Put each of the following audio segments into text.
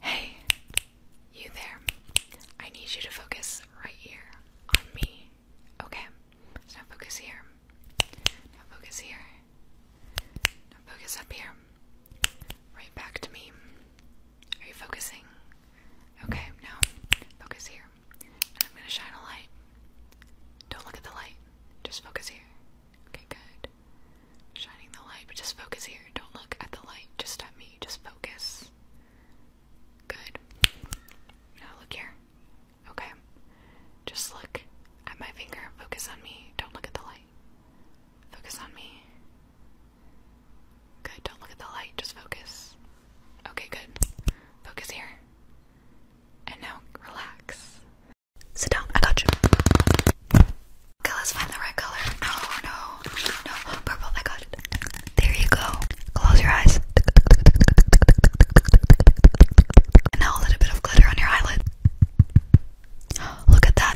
Hey, you there. I need you to focus right here on me. Okay. Now focus here. Now focus here. Now focus up here. Right back to me. Are you focusing? Okay, now focus here. I'm gonna shine a light. Don't look at the light, just focus here. Okay, good. Shining the light, but just focus here. Don't look at the light, just at me. Just focus. Good. Now look here. Okay. Just look at my finger. Focus on me. Don't look at the light. Focus on me. Good. Don't look at the light. Just focus. Okay, good. Focus here. And now relax. Sit down. I got you. Okay, let's find the right color. No, oh, no, no. Purple. I got it. There you go. Close your eyes. And now a little bit of glitter on your eyelid. Look at that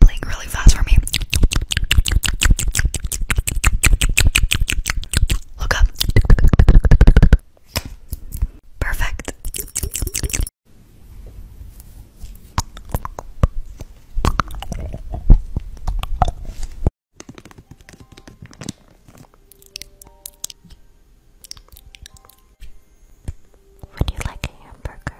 blink really fast for me. Look up. Perfect. Would you like a hamburger?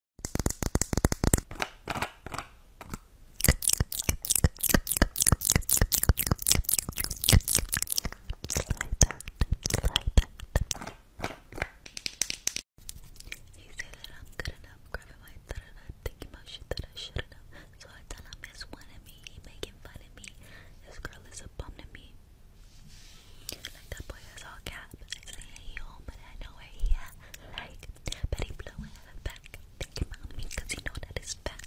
He said that I'm good enough, grabbing my throat and I'm thinking shit that I shouldn't So I tell it's one of me, making fun of me. This girl is a bum to me. Like that boy is all cap. I say hey yo, but I know where he at. Like Betty Blue in the back. Think about me, you know that it's fat.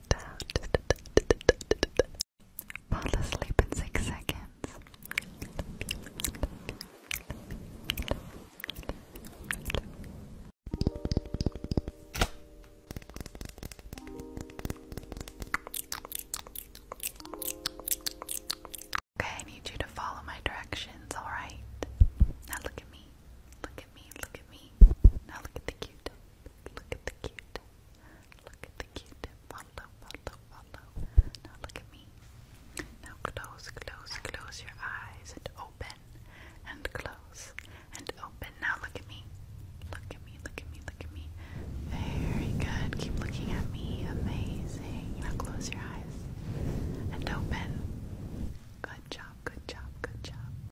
Fall asleep in six seconds. Okay, I need you to follow my directions, alright? Now look at me. Look at me, look at me. Now look at the cute. Look at the cute. Look at the cute. Follow, follow, follow. Now look at me. Now close, close, close your eyes and open and close and open. Now look at me. Look at me, look at me, look at me. Very good. Keep looking at me. Amazing. Now close your eyes and open. Good job, good job, good job.